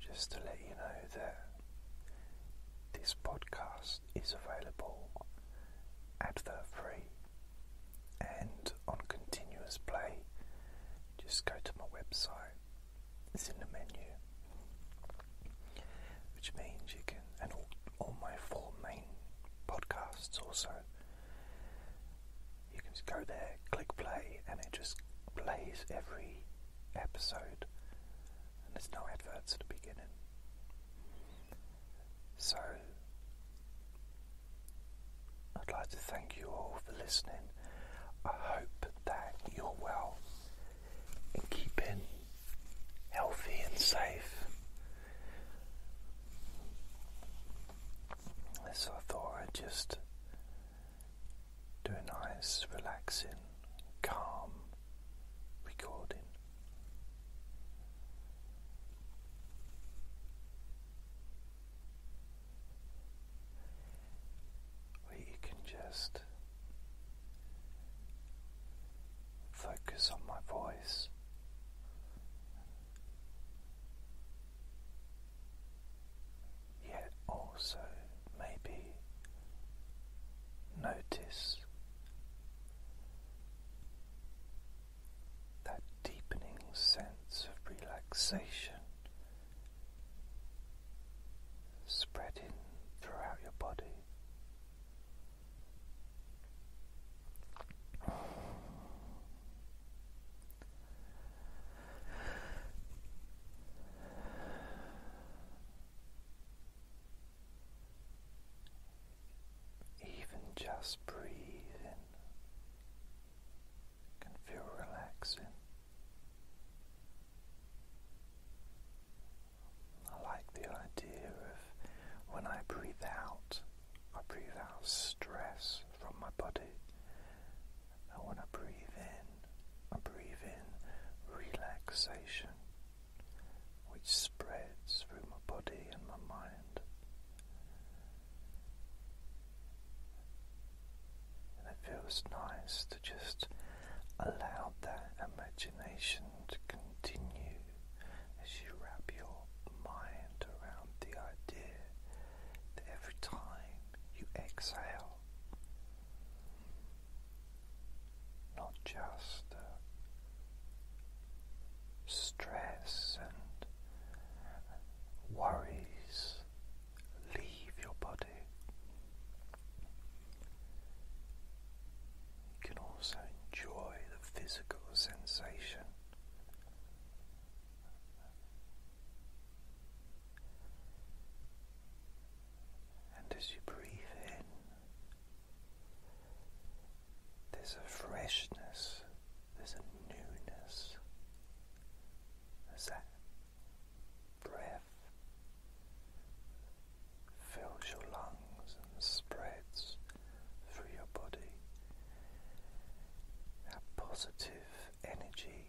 just to let you know that this podcast is available advert free and on continuous play. Just go to my website, it's in the menu, which means you can, and all my four main podcasts also. You can just go there, click play, and it just plays every episode, and there's no adverts at the beginning. So, I'd like to thank you all for listening. I hope that you're well and keeping healthy and safe. This I thought I'd just do a nice, relaxing, calm recording. Where you can just focus on my voice yet also maybe notice that deepening sense of relaxation spreading throughout your body. Even just breathing can feel relaxing. I like the idea of when I breathe out, I breathe out stress from my body, and when I breathe in, breathe in relaxation which spreads through my body and my mind. And it feels nice to just allow that imagination to continue as you wrap your mind around the idea that every time you exhale, not just stress and worries leave your body. You can also enjoy the physical sensation. And as you breathe in, there's a freshness, there's a newness, as that breath fills your lungs and spreads through your body. That positive energy,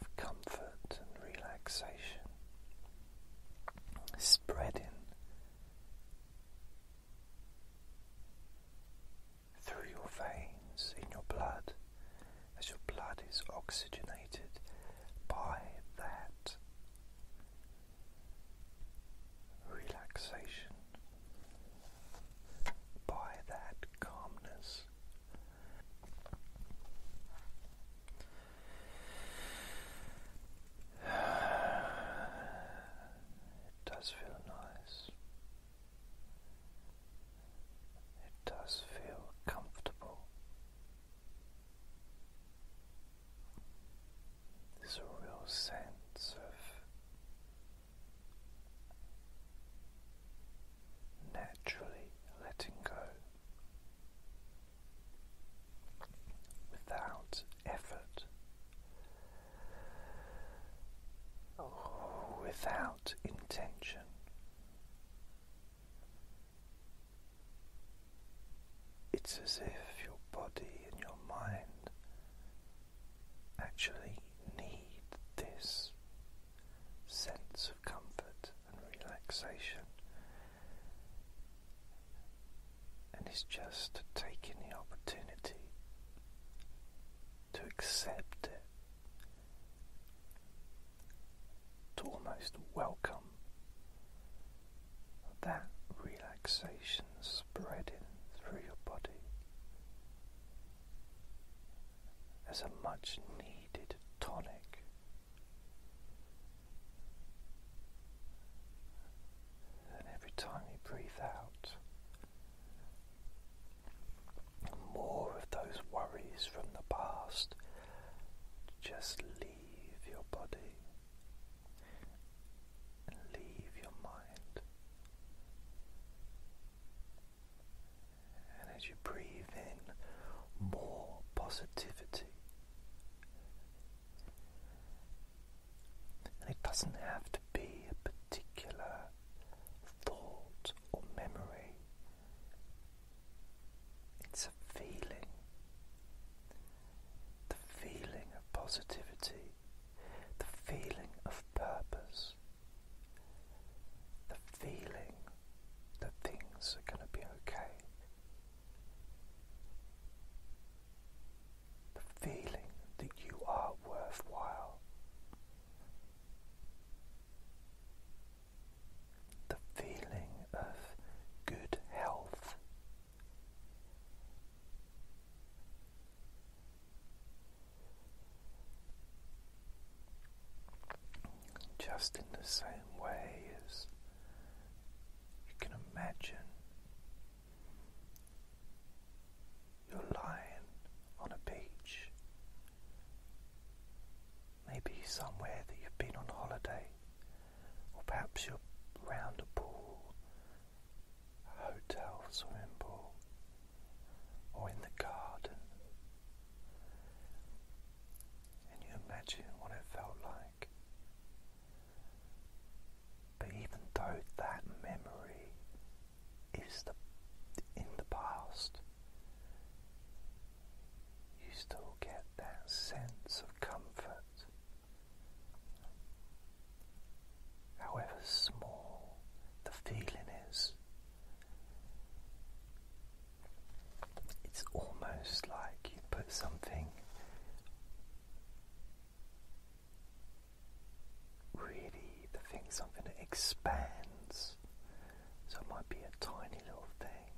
of comfort and relaxation spreading through your veins, in your blood, as your blood is oxygenated by that relaxation, by that calmness. It does feel nice. It does feel comfortable. There's a real sense of naturally letting go without effort, without intention. It's as if your body and your mind actually need this sense of comfort and relaxation. And it's just taking the opportunity to accept it, to almost welcome that relaxation spreading through your body as a much needed tonic. And every time you breathe out, more of those worries from the past just leave your body and leave your mind. And as you breathe in more positivity. And it doesn't have to be a particular thought or memory, it's a feeling. The feeling of positivity, the feeling of purpose the feeling that things are going to be okay, the feeling that you are worthwhile, the feeling of good health. Just in the same way as you can imagine you're lying on a beach, maybe somewhere that you've been on holiday, or perhaps you're round a pool, a hotel swimming pool, or in the garden. Can you imagine what it felt like. But even though that memory is in the past, you still get that sense of comfort, however small the feeling is. It's almost like you put something really, the thing, something that expands. So it might be a tiny little thing.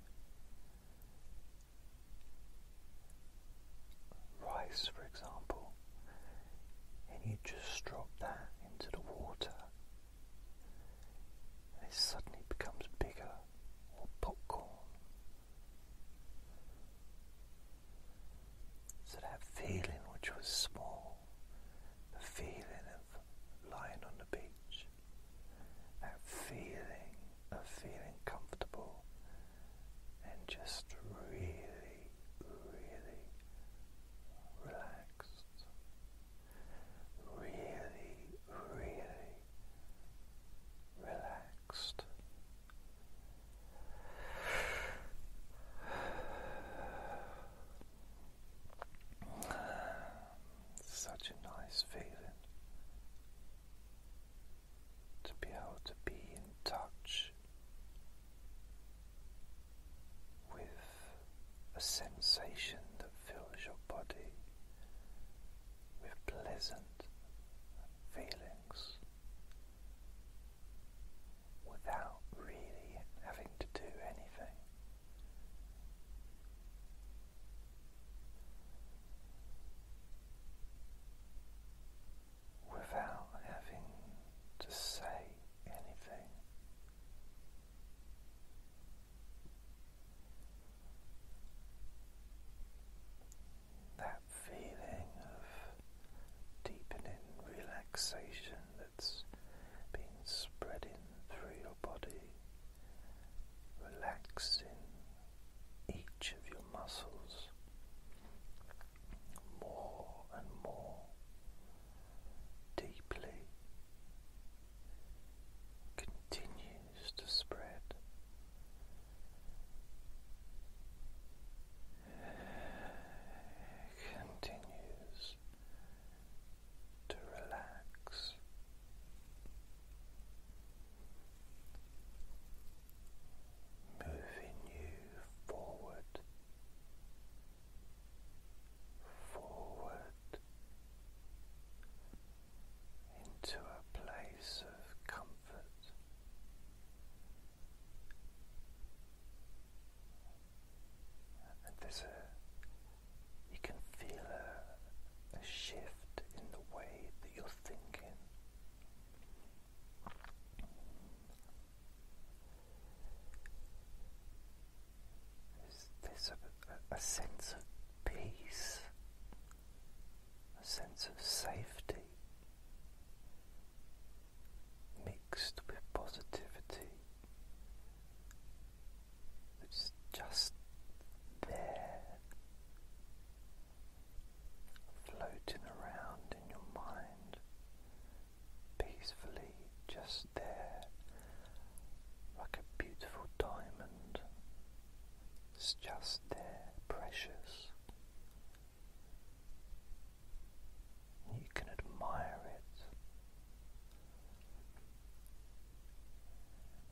Rice, for example, and you just drop that into the water it suddenly becomes bigger, or popcorn. So that feeling which was small, the feeling of lying on the beach, that feeling of feeling comfortable and just really, really relaxed really, really relaxed. Such a nice feeling to be able to be in touch with a sensation that fills your body with pleasant feelings without really having to do anything. Without having to say anything, that feeling of deepening relaxation that's been spreading through your body, relaxing each of your muscles more and more deeply continues to spread. Continues to relax. Moving you forward forward into a place of comfort. And there's a, you can feel a, a shift in the way that you're thinking. There's a, sense of peace, a sense of safety mixed with positivity that's just there, floating around in your mind, peacefully, just there like a beautiful diamond. It's just there, precious. You can admire it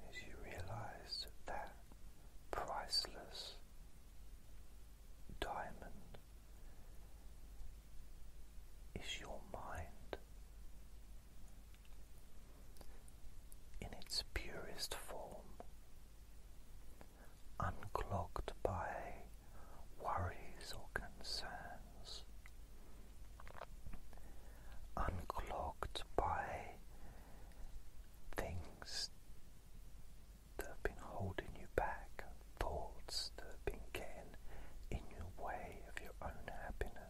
as you realize that priceless diamond is your mind in its purest form, unclogged by worries or concerns, unclogged by things that have been holding you back, thoughts that have been getting in your way of your own happiness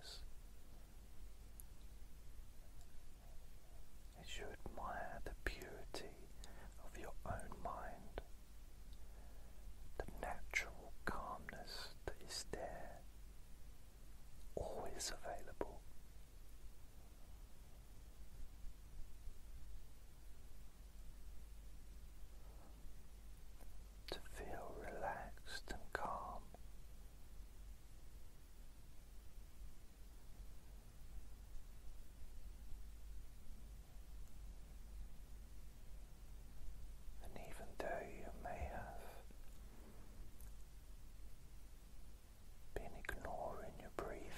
as you admire the purity of your own mind, the natural calmness that is there, always available to feel relaxed and calm. And even though you may have been ignoring your breathing,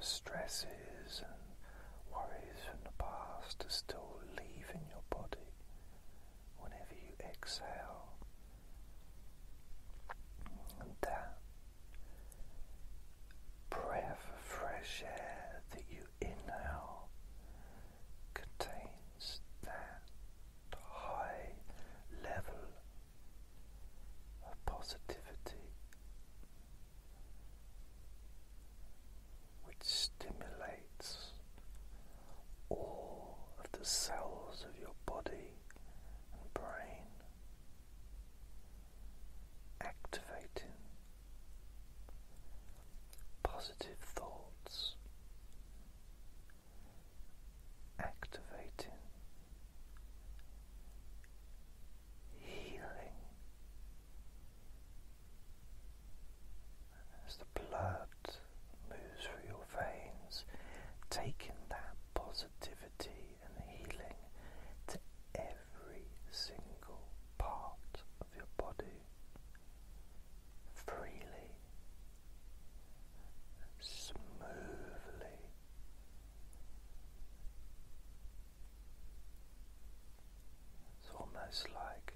stresses and worries from the past are still leaving your body whenever you exhale. that breath of fresh air that you inhale contains that high level of positivity which stimulates all of the cells of your body and brain, activating positive thoughts, activating healing as the blood moves through your veins, taking that positivity and healing to every single part of your body freely, smoothly, it's almost like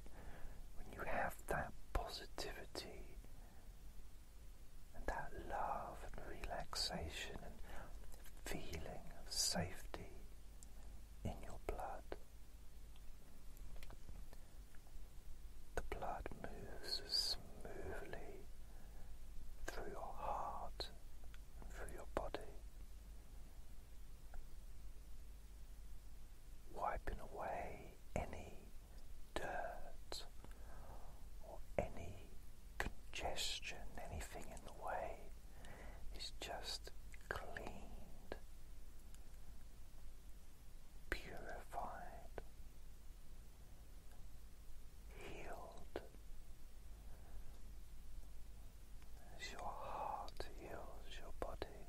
when you have that positivity and that love and relaxation and feeling of safety in your blood. The blood moves smoothly through your heart and through your body wiping away any dirt or any congestion, anything in the way is just cleaned, purified, healed. As your heart heals your body,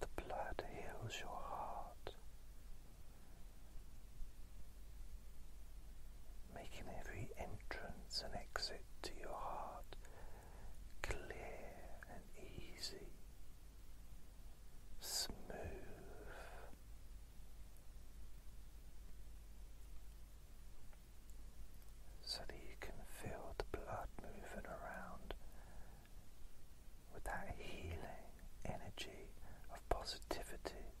the blood heals your heart, making every entrance and exit to your heart clear and easy, smooth so that you can feel the blood moving around with that healing energy of positivity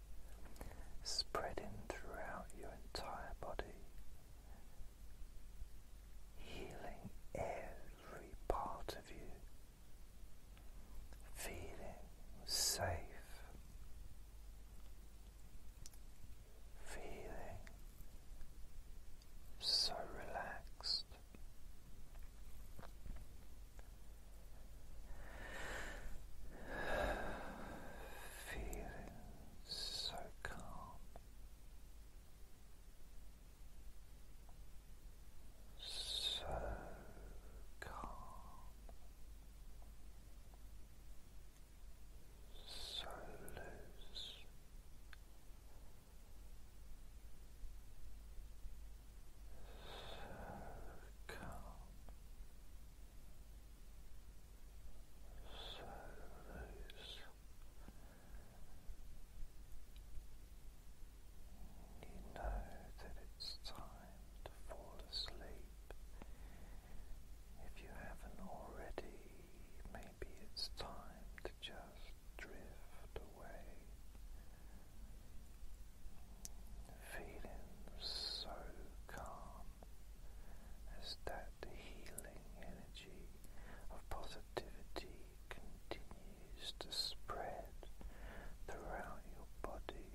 spreading throughout your entire body, healing every part of you, feeling safe feeling so relaxed. Feeling so calm, so calm, so loose. So calm, so loose. You know that it's time to fall asleep. If you haven't already, maybe it's time to just drift away. Feeling so calm as that healing energy of positivity continues to spread throughout your body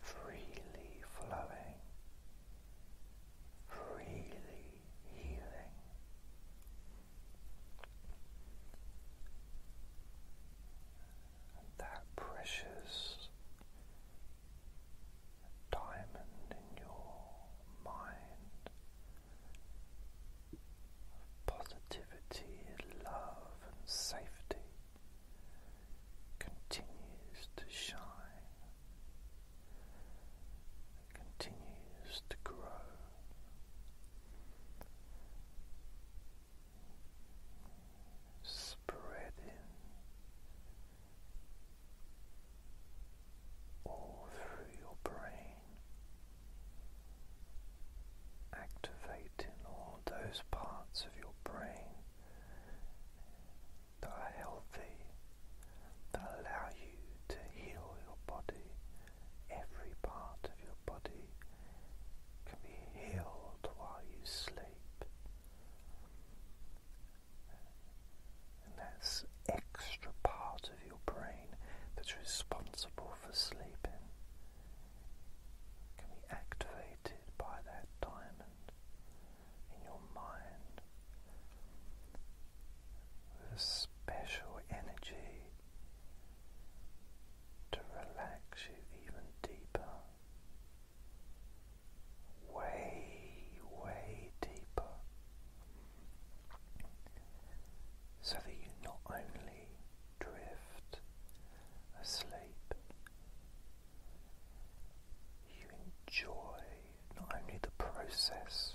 freely flowing, freely healing. that precious diamond in your mind of positivity and love and safety continues to shine, continues to grow. Spreading all through your brain, activating all those parts of your brain that are healthy, that allow you to heal your body. Every part of your body can be healed while you sleep. And that's extra part of your brain that's responsible for sleeping can be activated by that time in your mind with a special energy to relax you even deeper. Way, way deeper. So that you not only drift asleep you enjoy not only the process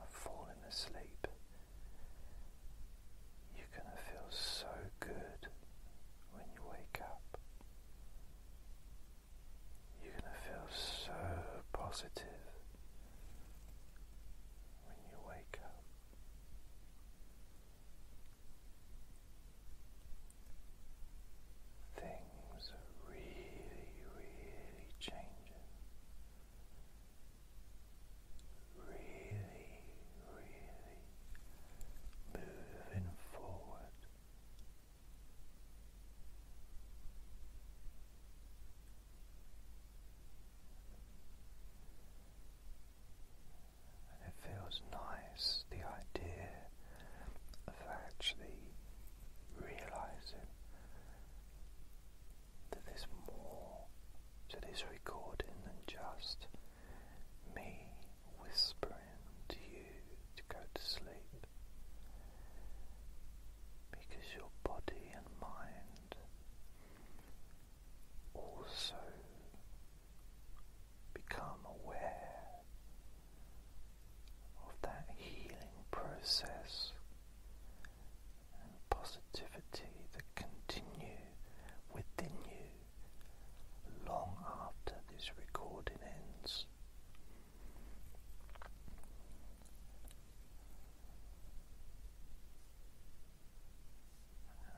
of falling asleep, you're going to feel so good when you wake up. You're going to feel so positive when you wake up. Things are really, really changing. Really, really moving forward it feels nice the idea of actually realizing that there's more to this recording than just me whispering to you to go to sleep because your body and mind also become aware of that healing process and positivity that continue within you long after this recording ends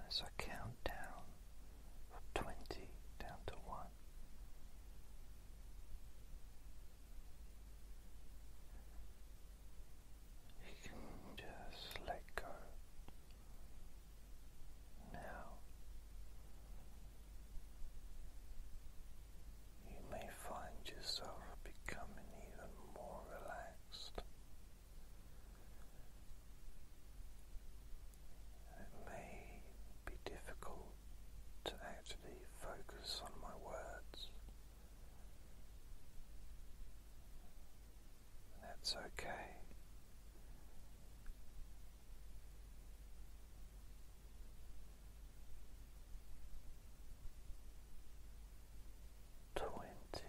as I count down from 20 down to 1, you can just let go now. You may find yourself becoming even more Relaxed. It may be difficult to actually focus on my words. That's okay. Twenty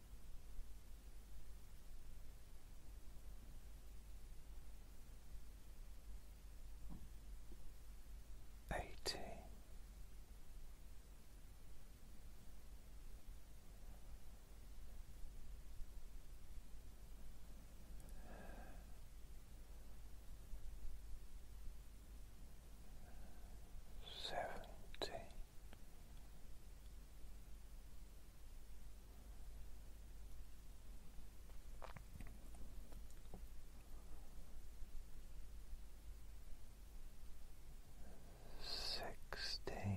Eighty seventy. Sixteen. Fifteen.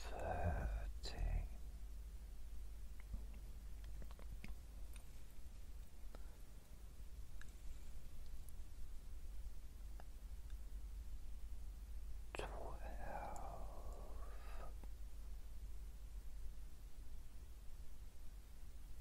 thirteen twelve